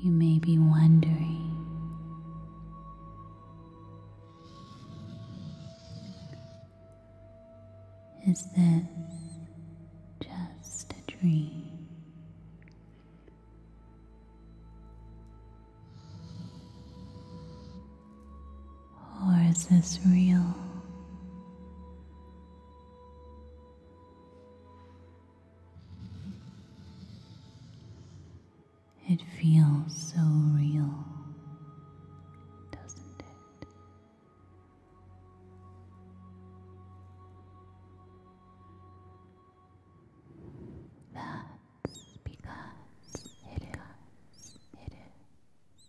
You may be wondering. Is this just a dream? Or is this real? It feels so real, doesn't it? That's because it is. It is.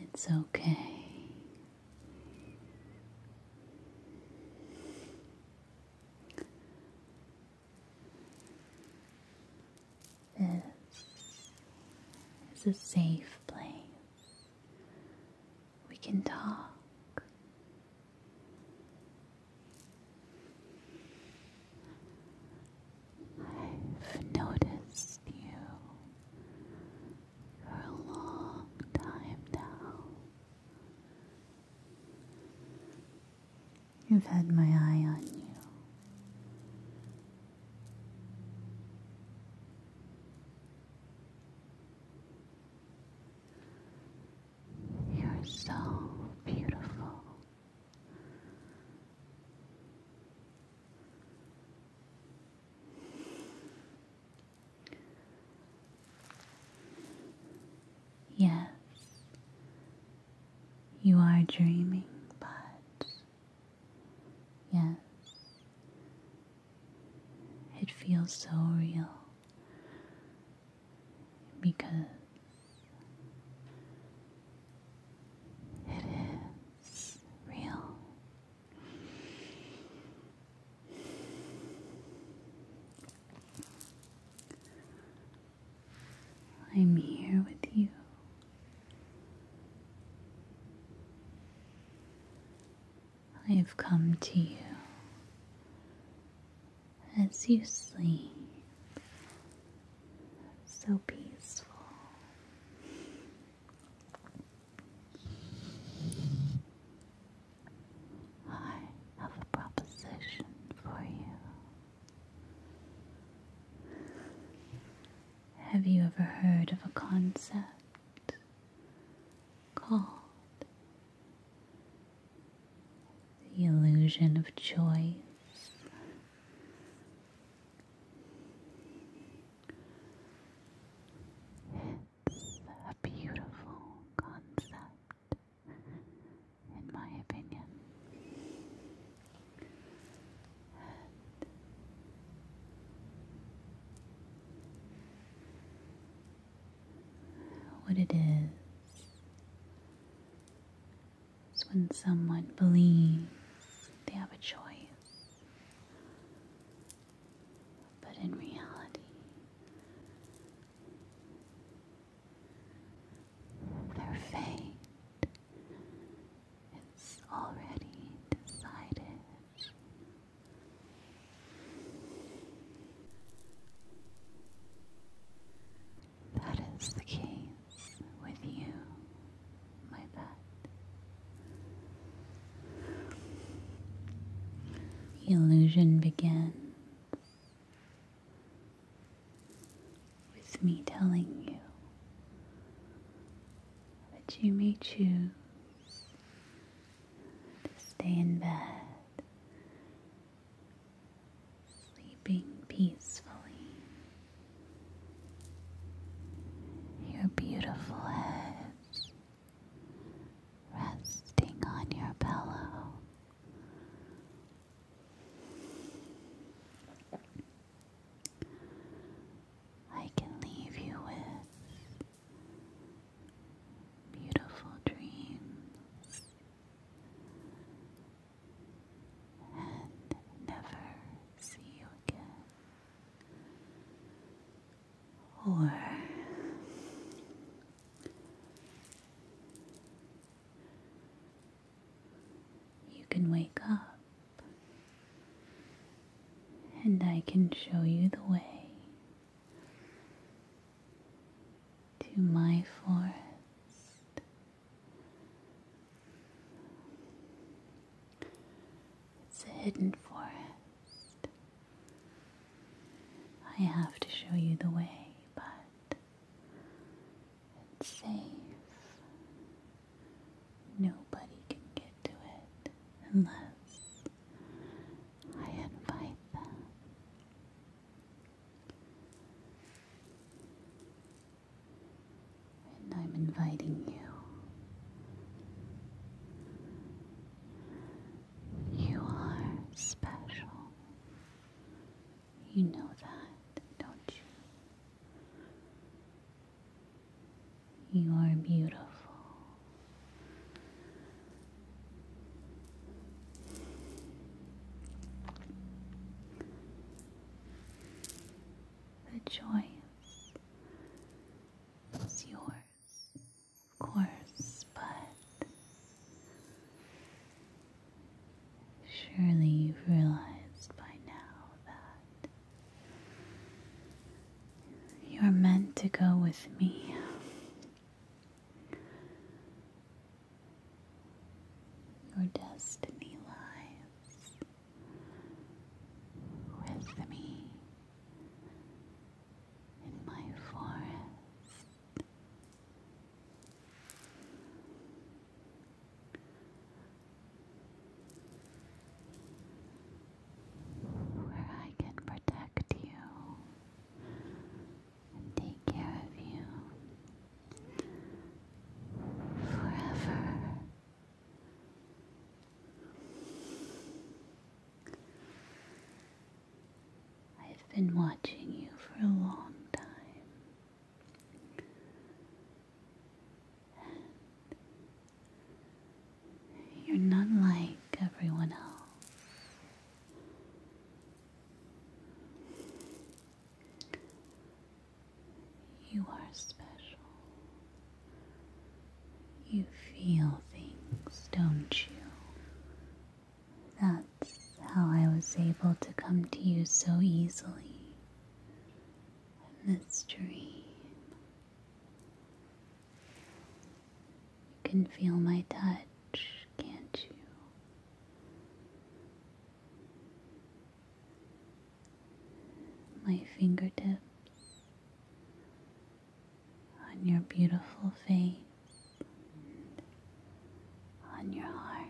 It's okay. This is a safe place. We can talk. I've noticed you for a long time now. You've had my eye on you. You're so beautiful. Yes, you are dreaming, but yes, it feels so real because it is real. I'm here with you. I've come to you as you sleep, so peaceful. I have a proposition for you. Have you ever heard of a concept called the illusion of choice? It's a beautiful concept, in my opinion. what it is is when someone believes they have a choice but in reality, their fate is already decided. That is the case with you my bed. The illusion began with me telling you that you may choose to stay in bed, sleeping peacefully your beautiful heads resting on your pillow. I can leave you with beautiful dreams and never see you again or you can wake up and I can show you the way to my forest. It's a hidden forest. I have to show you the way, but it's safe. Nobody can get to it unless I invite them and I'm inviting you. You are special. You know that, don't you? You are beautiful. The joyous was yours, of course, but surely you've realized by now that you're meant to go with me. Your destiny lies with me in my forest. Where I can protect you and take care of you forever. I've been watching you for a long time. you're not like everyone else. You are special. You feel things, don't you? That's how I was able to come to you so easily in this dream. You can feel my touch, can't you? My fingertips on your beautiful face, on your heart.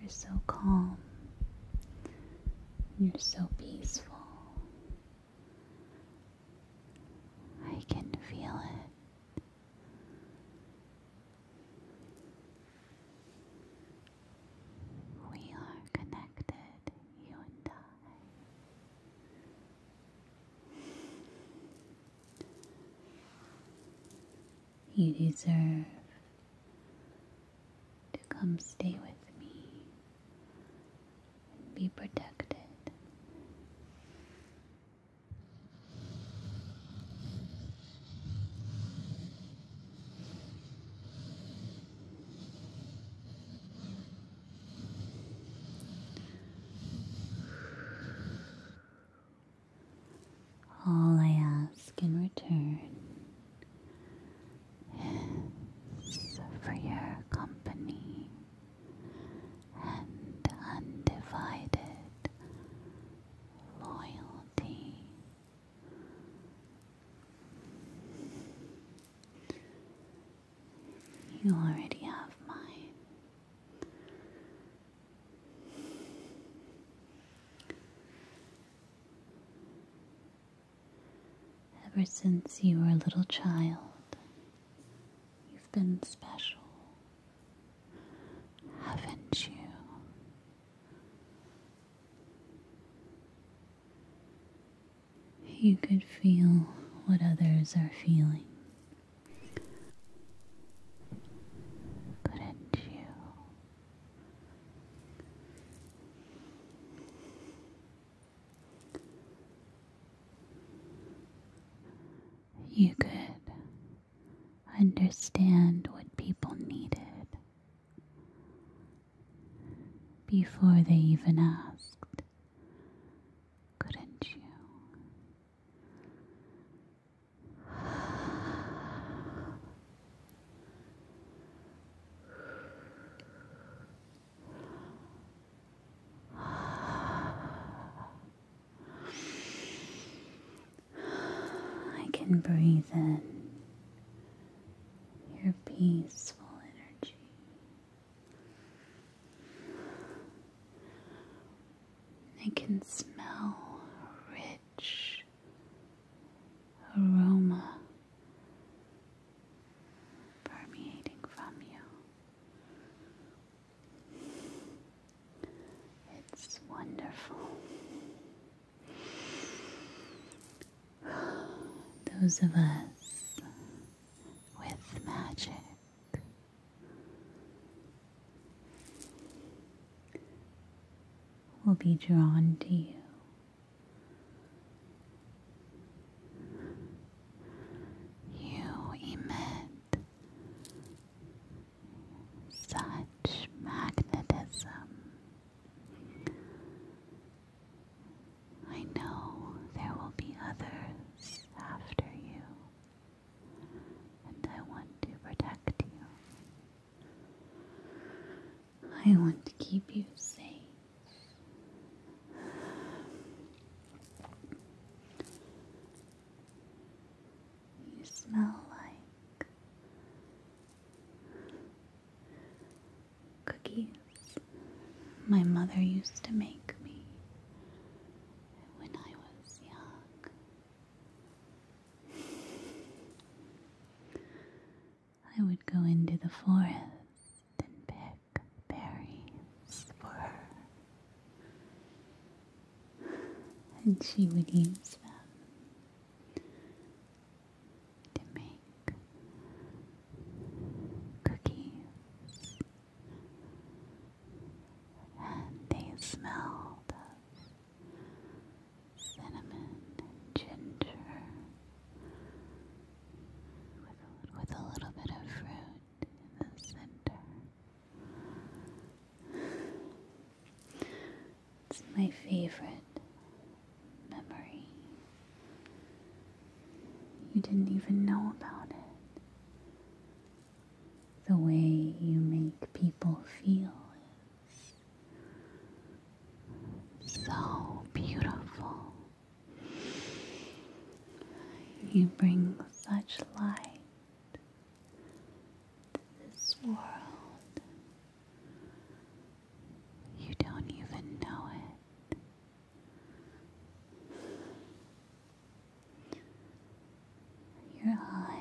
You're so calm. You're so peaceful. I can feel it. We are connected, you and I. You deserve to come stay with me and be protected. All I ask in return for your company and undivided loyalty. You already have mine. Ever since you were a little child, you've been special haven't you? You could feel what others are feeling. could you? You could understand what people needed before they even asked, couldn't you? I can breathe in your peaceful energy. I can smell rich aroma permeating from you. It's wonderful. Those of us with magic will be drawn to you. You emit such magnetism. I know there will be others after you, and I want to protect you. I want to keep you safe you smell like cookies my mother used to make me when I was young. I would go into the forest and pick berries for her and she would use them to make cookies. And they smelled cinnamon ginger with a little bit of fruit in the center. It's my favorite memory. You didn't even know about it. The way you make people feel so beautiful. You bring such light this world. You don't even know it. Your eyes.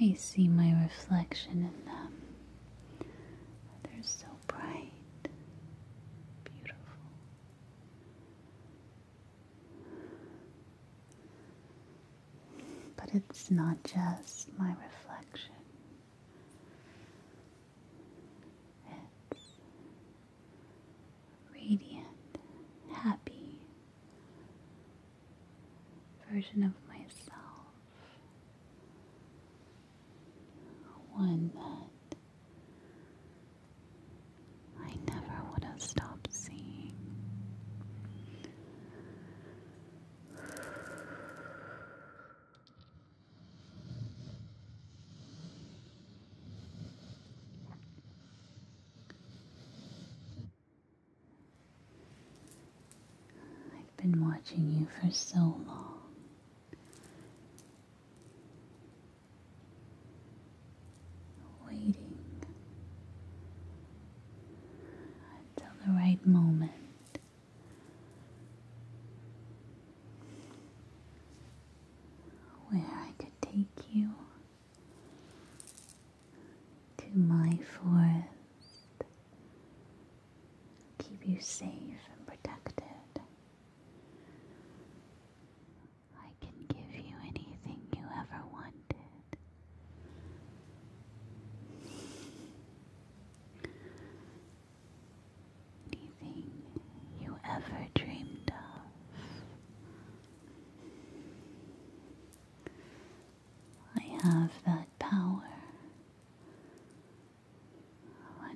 I see my reflection in them. They're so bright, beautiful. But it's not just my reflection. It's radiant, happy, version of myself. One that I never would have stopped seeing. I've been watching you for so long. Waiting until the right moment. Where I could take you to my forest, keep you safe and protected. I can give you anything you ever wanted. Anything you ever dreamed of. I have that power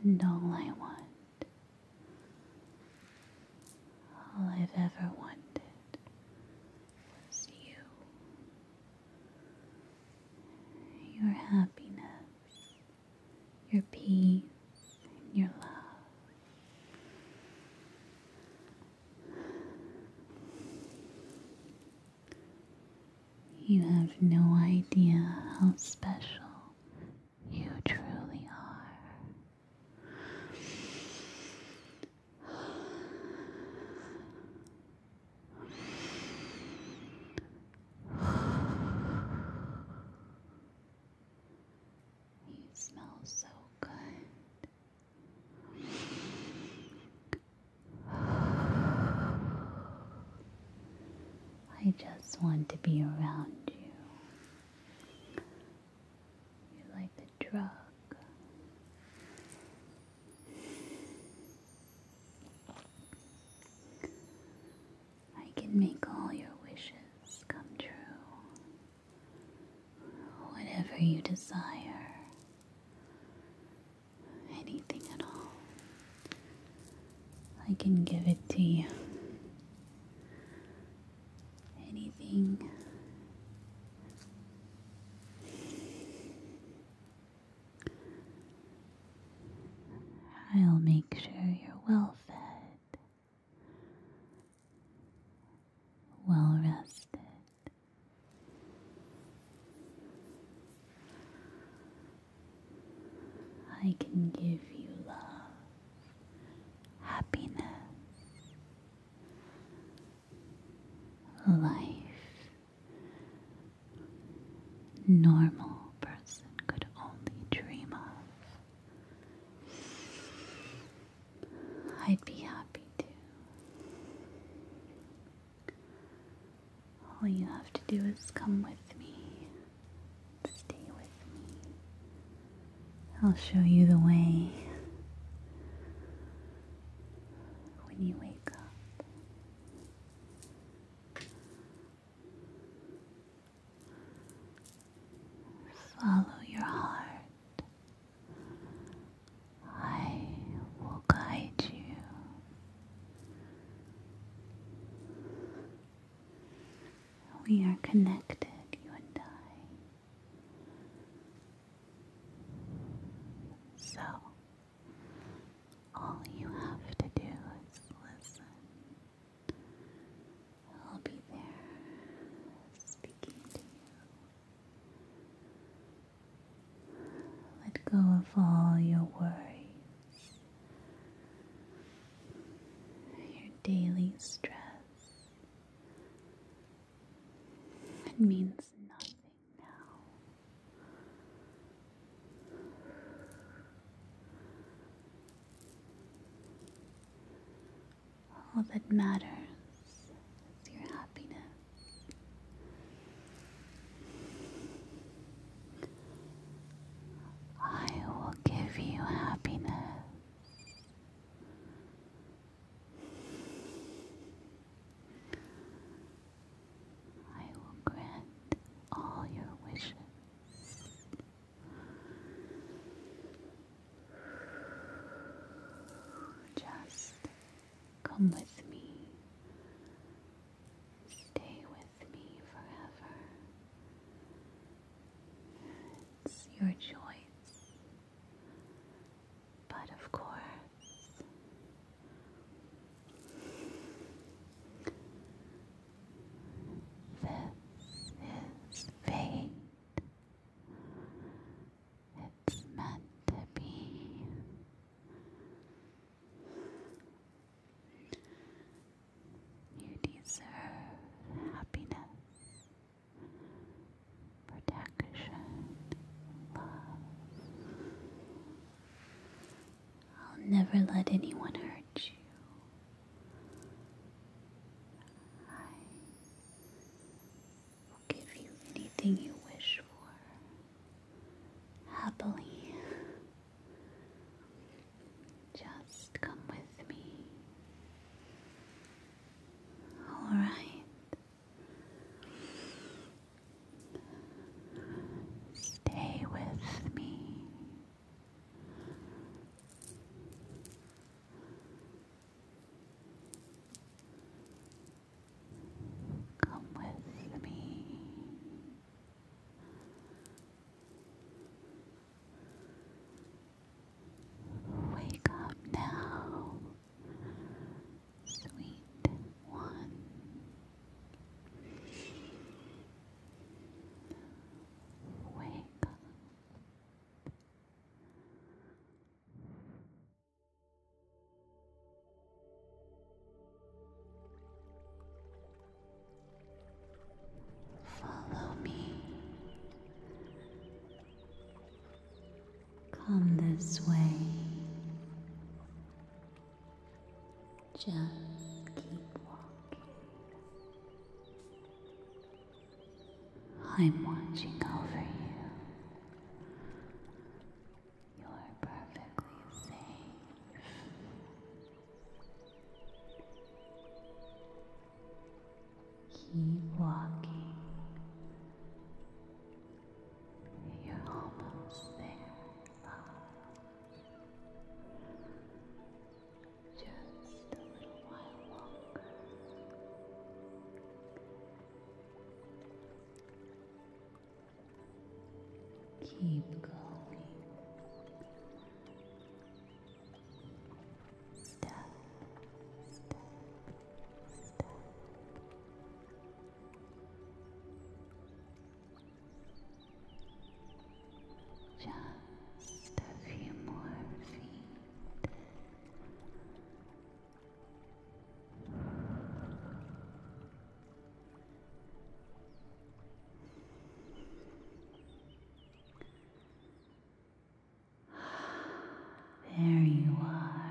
and all I want, all I've ever wanted was you, your happiness, your peace, and your love. You have no idea how special you truly are. You smell so good. I just want to be around you. You're like a drug. I can make all your wishes come true. Whatever you desire, anything at all, I can give it to you. Anything. I'll make sure you're well fed, well rested, I can give you love, happiness, life. Normal person could only dream of. I'd be happy too. All you have to do is come with me, stay with me. I'll show you the way. When you wake up, follow your heart. I will guide you we are connected, you and I. So, all you have to do is listen. I'll be there speaking to you. Let go of all your worries, your daily stress. It means nothing now. All that matters is your happiness. I will give you happiness. I will grant all your wishes. Just Come with me. Stay with me forever. It's your choice. But of course, this is fate. It's meant to be. You deserve happiness, protection, love. I'll never let anyone hurt you. I will give you anything you wish for happily. Just come with me. All right. Stay with me. Come with me. Wake up now, sweet one. Wake up. Follow me. Come this way. Just keep walking. I'm watching over you. You are perfectly safe. Keep walking. You're almost there, Just a little while longer. Keep going. Step, Just a few more feet. There you are.